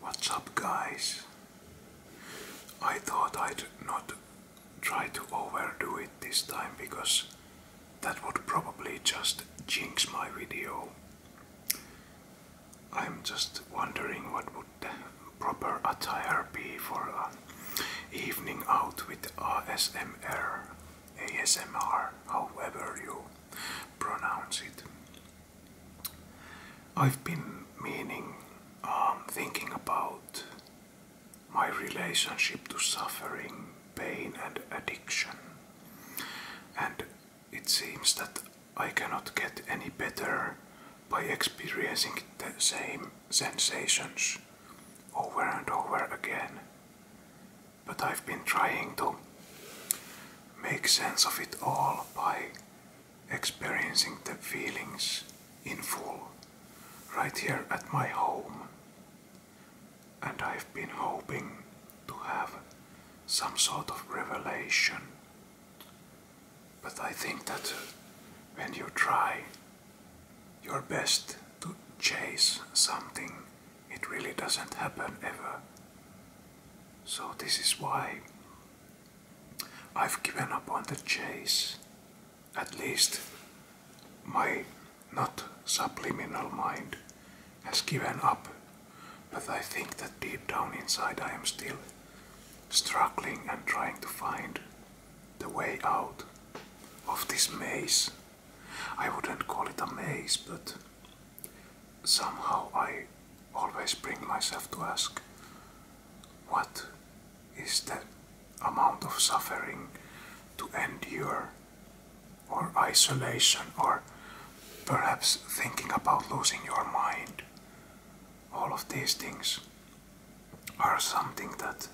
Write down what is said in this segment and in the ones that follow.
What's up guys? I thought I'd not try to overdo it this time because that would probably just jinx my video. I'm just wondering what would proper attire be for an evening out with ASMR, ASMR, however you pronounce it. I've been meaning, um, thinking about my relationship to suffering, pain, and addiction, and it seems that I cannot get any better by experiencing the same sensations over and over again. But I've been trying to make sense of it all by experiencing the feelings in full right here at my home. And I've been hoping to have some sort of revelation. But I think that when you try your best to chase something, it really doesn't happen ever. So this is why I've given up on the chase. At least my not subliminal mind has given up. But I think that deep down inside I am still struggling and trying to find the way out of this maze. I wouldn't call it a maze, but somehow I always bring myself to ask what is the amount of suffering to endure or isolation or perhaps thinking about losing your mind all of these things are something that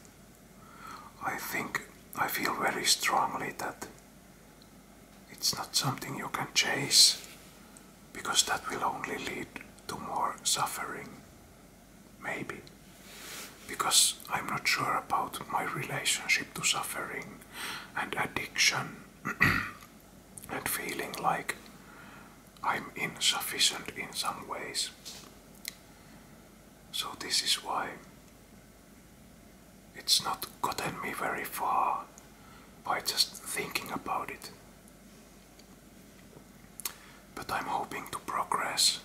I think I feel very strongly that it's not something you can chase because that will only lead to more suffering. Maybe. Because I'm not sure about my relationship to suffering and addiction and feeling like I'm insufficient in some ways. So, this is why it's not gotten me very far by just thinking about it. But I'm hoping to progress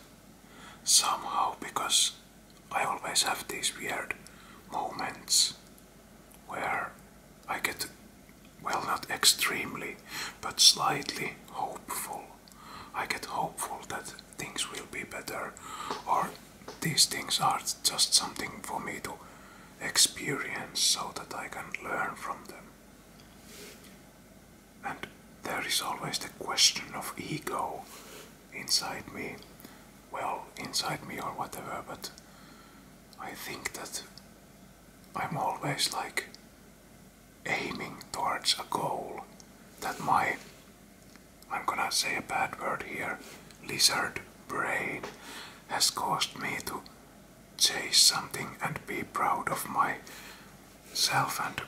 somehow because I always have these weird moments where I get, well, not extremely, but slightly hopeful. I get hopeful that things will be better or these things are just something for me to experience so that I can learn from them. And there is always the question of ego inside me. Well, inside me or whatever, but I think that I'm always like aiming towards a goal that my, I'm gonna say a bad word here, lizard brain has caused me to chase something and be proud of myself and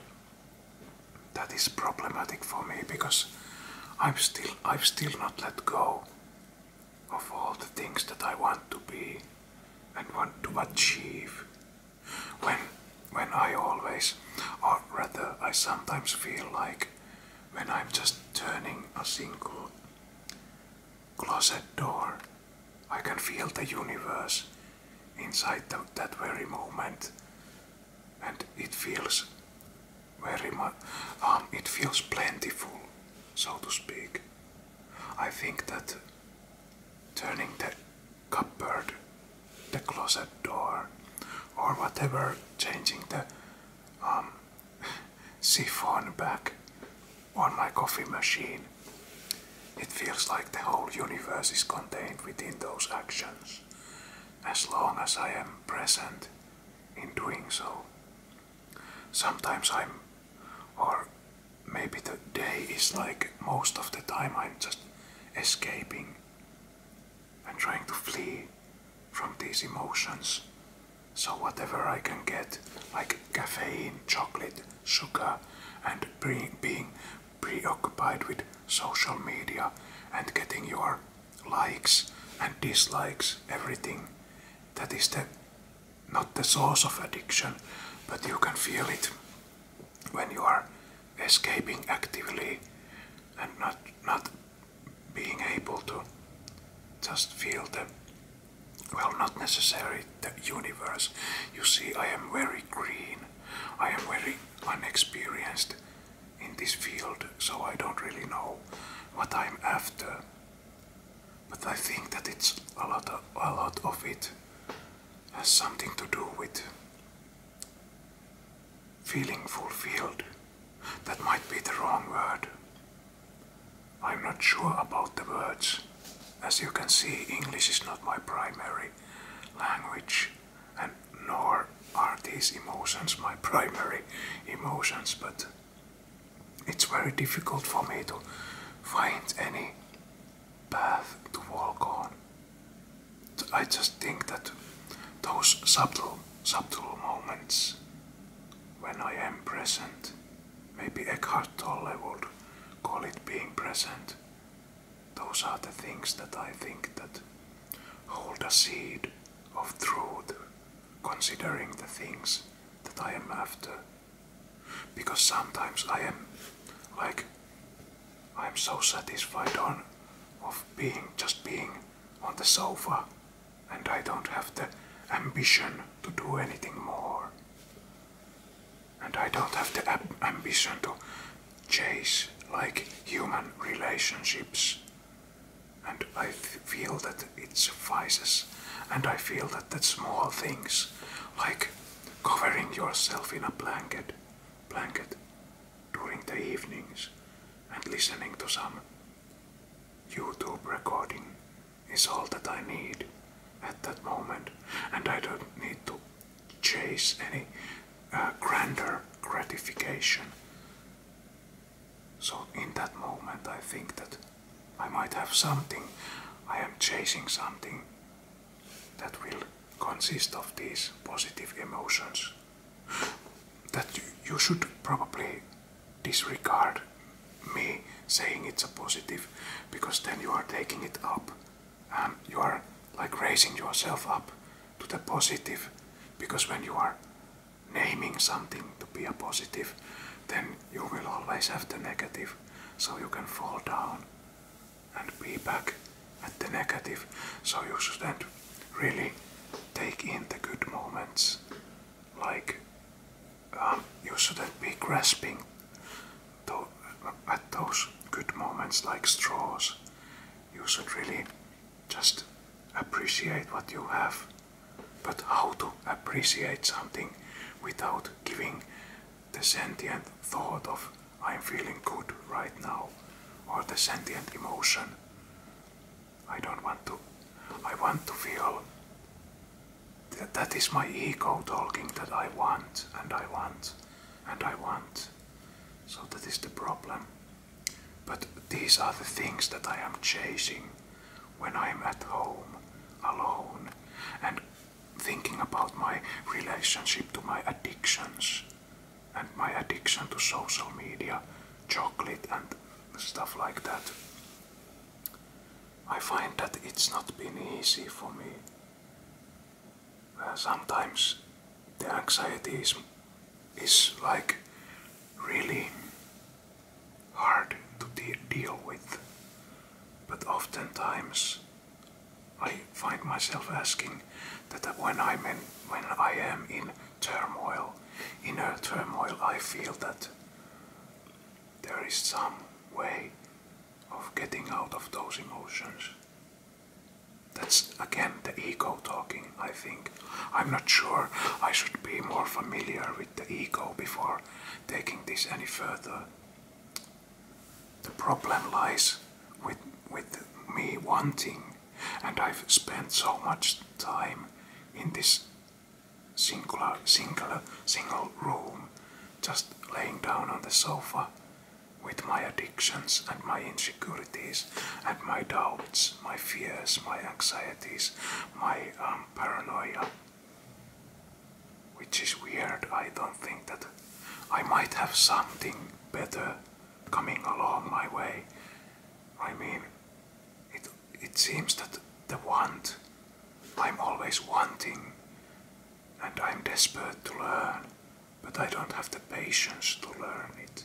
that is problematic for me because I'm still I've still not let go of all the things that I want to be and want to achieve when when I always or rather I sometimes feel like when I'm just turning a single closet door, I can feel the universe inside that very moment, and it feels very much. Um, it feels plentiful, so to speak. I think that turning the cupboard, the closet door, or whatever, changing the um, siphon back on my coffee machine. It feels like the whole universe is contained within those actions, as long as I am present in doing so. Sometimes I'm, or maybe the day is like most of the time I'm just escaping and trying to flee from these emotions so whatever I can get, like caffeine, chocolate, sugar, and being preoccupied with social media and getting your likes and dislikes, everything, that is the, not the source of addiction, but you can feel it when you are escaping actively and not, not being able to just feel them well, not necessarily the universe. You see, I am very green. I am very unexperienced in this field, so I don't really know what I'm after. But I think that it's a lot of, a lot of it has something to do with feeling fulfilled. That might be the wrong word. I'm not sure about the words. As you can see, English is not my primary language, and nor are these emotions my primary emotions, but it's very difficult for me to find any path to walk on. I just think that those subtle, subtle moments when I am present Maybe Eckhart Tolle would call it being present. Those are the things that I think that hold a seed of truth, considering the things that I am after. Because sometimes I am like, I'm so satisfied on of being, just being on the sofa and I don't have the ambition to do anything more. And I don't have the ambition to chase like human relationships. And I feel that it suffices, and I feel that the small things, like covering yourself in a blanket, blanket during the evenings, and listening to some YouTube recording is all that I need at that moment, and I don't need to chase any uh, grander gratification. So, in that moment, I think that I might have something, I am chasing something that will consist of these positive emotions that you should probably disregard me saying it's a positive because then you are taking it up and um, you are like raising yourself up to the positive because when you are naming something to be a positive then you will always have the negative so you can fall down and be back at the negative so you shouldn't really take in the good moments like um, you shouldn't be grasping at those good moments like straws. You should really just appreciate what you have. But how to appreciate something without giving the sentient thought of I'm feeling good right now or the sentient emotion. I don't want to. I want to feel that is my ego talking that I want and I want and I want. So that is the problem. But these are the things that I am chasing when I am at home, alone, and thinking about my relationship to my addictions and my addiction to social media, chocolate, and stuff like that. I find that it's not been easy for me. Uh, sometimes the anxiety is, is like really hard to deal with, but oftentimes I find myself asking that when I'm in, when I am in turmoil, inner turmoil, I feel that there is some way of getting out of those emotions. That's again the ego talking, I think. I'm not sure I should be more familiar with the ego before taking this any further. The problem lies with, with me wanting, and I've spent so much time in this singular, singular, single room, just laying down on the sofa with my addictions and my insecurities and my doubts, my fears, my anxieties, my um, paranoia. Which is weird, I don't think that I might have something better coming along my way. I mean, it, it seems that the want I'm always wanting and I'm desperate to learn, but I don't have the patience to learn it.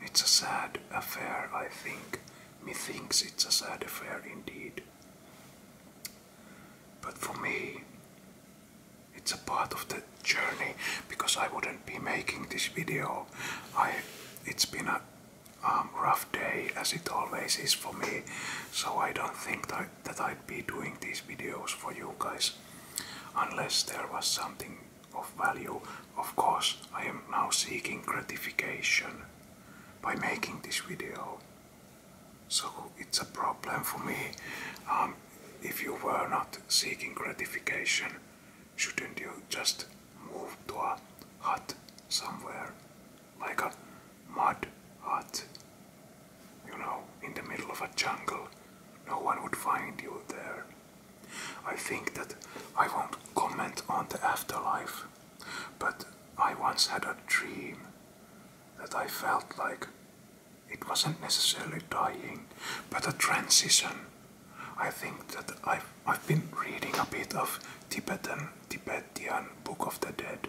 It's a sad affair, I think. Methinks it's a sad affair indeed. But for me, it's a part of the journey because I wouldn't be making this video. I, it's been a um, rough day as it always is for me so I don't think that, I'd be doing these videos for you guys unless there was something of value of course I am now seeking gratification by making this video so it's a problem for me um, if you were not seeking gratification shouldn't you just move to a hut somewhere like a mud hut. You know, in the middle of a jungle. No one would find you there. I think that I won't comment on the afterlife, but I once had a dream that I felt like it wasn't necessarily dying, but a transition. I think that I've, I've been reading a bit of Tibetan, Tibetan Book of the Dead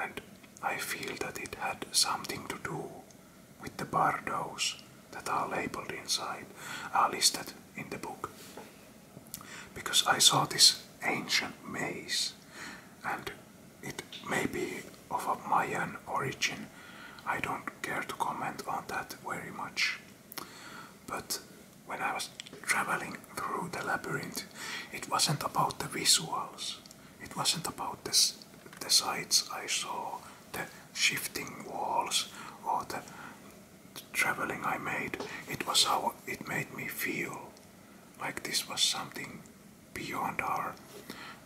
and I feel that it had something to do with the bardos that are labeled inside, are listed in the book. Because I saw this ancient maze and it may be of a Mayan origin. I don't care to comment on that very much. But when I was traveling through the labyrinth, it wasn't about the visuals. It wasn't about the, the sights I saw, the shifting walls, or the, traveling I made. It was how it made me feel, like this was something beyond our,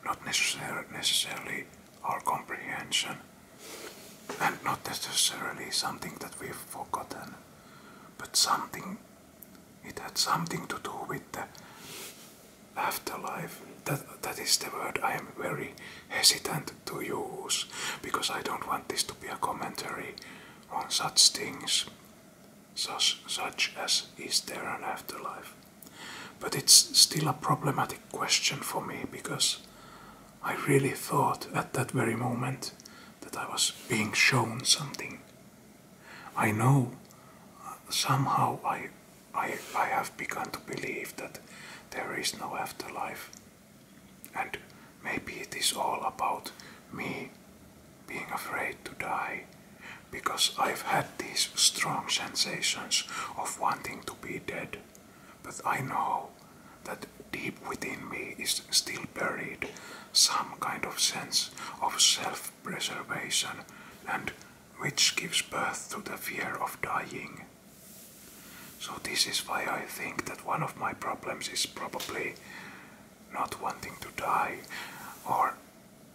not necessar necessarily our comprehension, and not necessarily something that we've forgotten, but something it had something to do with the afterlife. That, that is the word I am very hesitant to use because I don't want this to be a commentary on such things, such, as is there an afterlife. But it's still a problematic question for me because I really thought at that very moment that I was being shown something I know somehow I, I, I have begun to believe that there is no afterlife. And maybe it is all about me being afraid to die because I've had these strong sensations of wanting to be dead. But I know that deep within me is still buried some kind of sense of self preservation and which gives birth to the fear of dying. So, this is why I think that one of my problems is probably not wanting to die, or,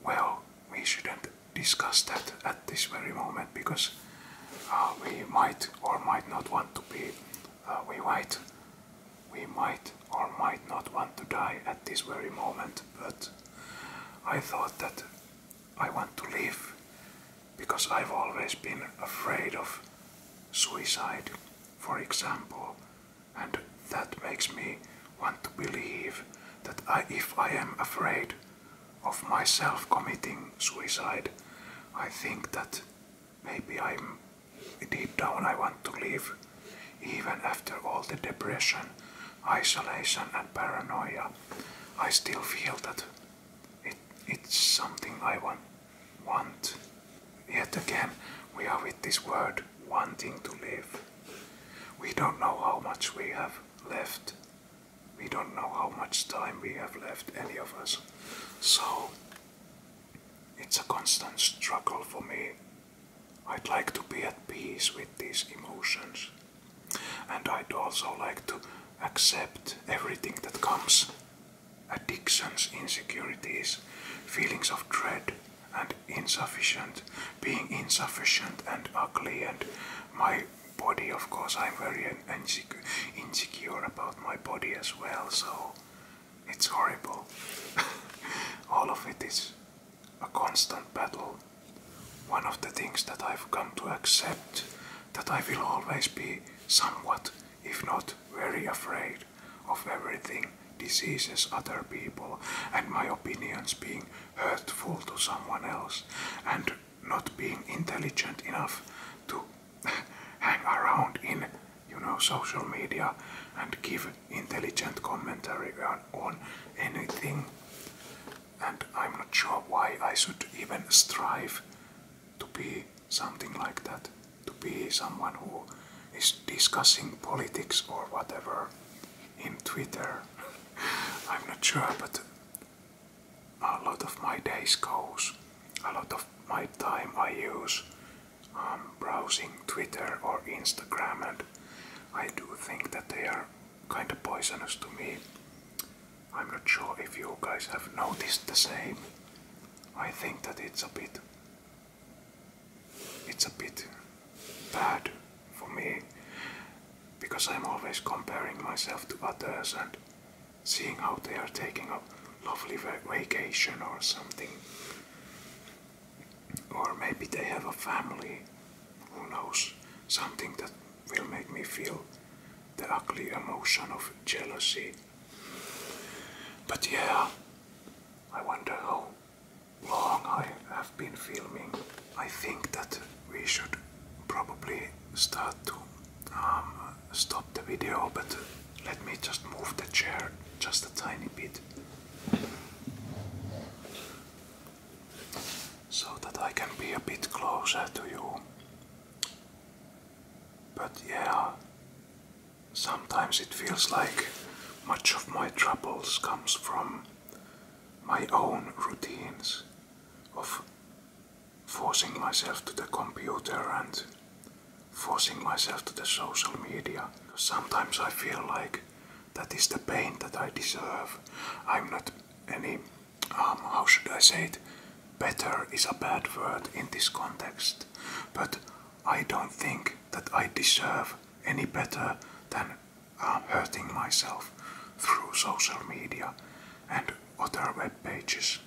well, we shouldn't discuss that at this very moment because uh, we might or might not want to be, uh, we might we might or might not want to die at this very moment, but I thought that I want to live because I've always been afraid of suicide, for example, and that makes me want to believe that if I am afraid of myself committing suicide, I think that maybe I'm Deep down, I want to live, even after all the depression, isolation, and paranoia. I still feel that it, it's something I want. want. Yet again, we are with this word wanting to live. We don't know how much we have left. We don't know how much time we have left, any of us. So, it's a constant struggle for me I'd like to be at peace with these emotions. And I'd also like to accept everything that comes addictions, insecurities, feelings of dread and insufficient, being insufficient and ugly, and my body, of course, I'm very insecure about my body as well, so it's horrible. All of it is a constant battle. One of the things that I've come to accept that I will always be somewhat, if not very afraid of everything diseases other people and my opinions being hurtful to someone else and not being intelligent enough to hang around in you know, social media and give intelligent commentary on, anything. And I'm not sure why I should even strive to be something like that, to be someone who is discussing politics or whatever in Twitter. I'm not sure, but a lot of my days goes, a lot of my time I use um, browsing Twitter or Instagram, and I do think that they are kind of poisonous to me. I'm not sure if you guys have noticed the same. I think that it's a bit it's a bit bad for me because I'm always comparing myself to others and seeing how they are taking a lovely vacation or something or maybe they have a family, who knows, something that will make me feel the ugly emotion of jealousy. But yeah, I wonder how long I have been filming. I think that we should probably start to um, stop the video, but let me just move the chair just a tiny bit so that I can be a bit closer to you. But yeah, sometimes it feels like much of my troubles comes from my own routines of forcing myself to the computer and forcing myself to the social media. Sometimes I feel like that is the pain that I deserve. I'm not any, um, how should I say it? Better is a bad word in this context, but I don't think that I deserve any better than um, hurting myself through social media and other web pages,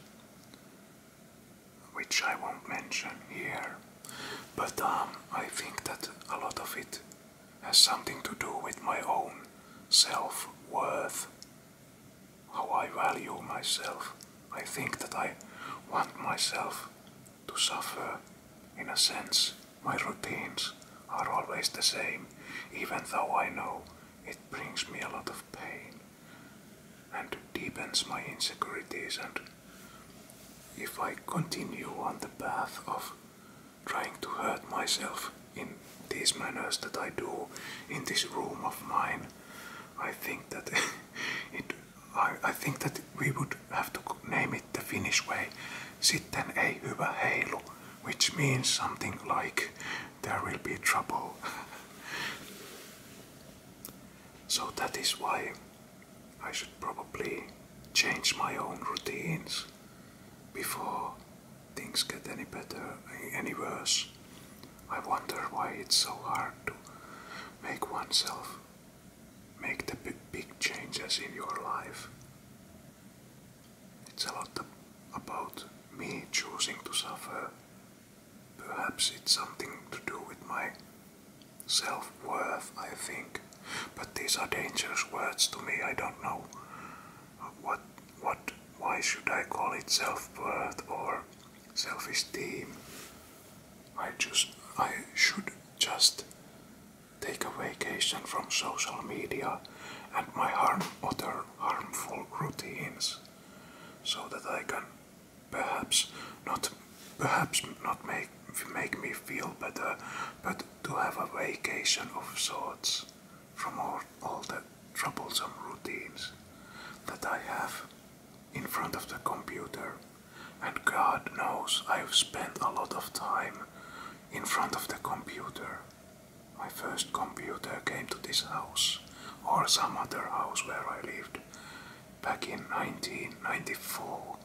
which I won't mention here. But um, I think that a lot of it has something to do with my own self worth, how I value myself. I think that I want myself to suffer in a sense. My routines are always the same, even though I know it brings me a lot of pain and deepens my insecurities and if I continue on the path of trying to hurt myself in these manners that I do in this room of mine, I think that it I, think that we would have to name it the Finnish way. Sitten ei hyvä heilu, which means something like there will be trouble. so that is why I should probably change my own routines before things get any better, any worse. I wonder why it's so hard to make oneself make the big changes in your life. It's a lot about me choosing to suffer. Perhaps it's something to do with my self worth, I think. But these are dangerous words to me. I don't know what, what, why should I call it self worth or self esteem? I just, I should just take a vacation from social media and my other harmful routines so that I can perhaps not perhaps not make make me feel better, but to have a vacation of sorts from all, all the troublesome routines that I have in front of the computer. And God knows I've spent a lot of time in front of the computer. My first computer came to this house or some other house where I lived back in 1994.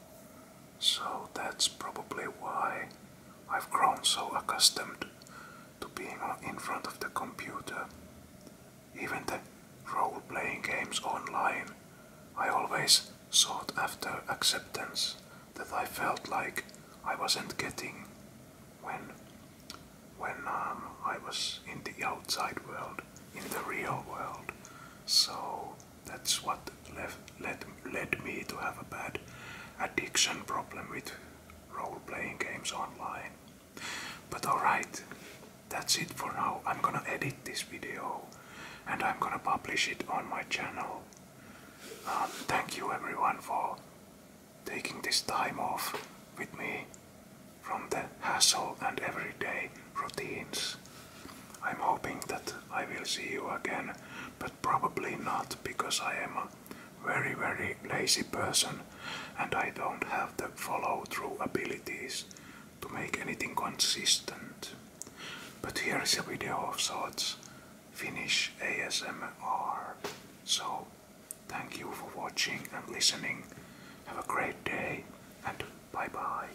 So that's probably why I've grown so accustomed to being in front of the computer. Even the role playing games online, I always sought after acceptance that I felt like I wasn't getting when, when um, I was in the outside world, in the real world. So that's what left, led, led me to have a bad addiction problem with role playing games online. But alright, that's it for now. I'm gonna edit this video and I'm gonna publish it on my channel. Um, thank you everyone for taking this time off with me from the hassle and everyday routines. I'm hoping that I will see you again, but probably not because I am a very very lazy person and I don't have the follow through abilities to make anything consistent. But here is a video of sorts, Finnish ASMR. So, thank you for watching and listening. Have a great day and bye bye.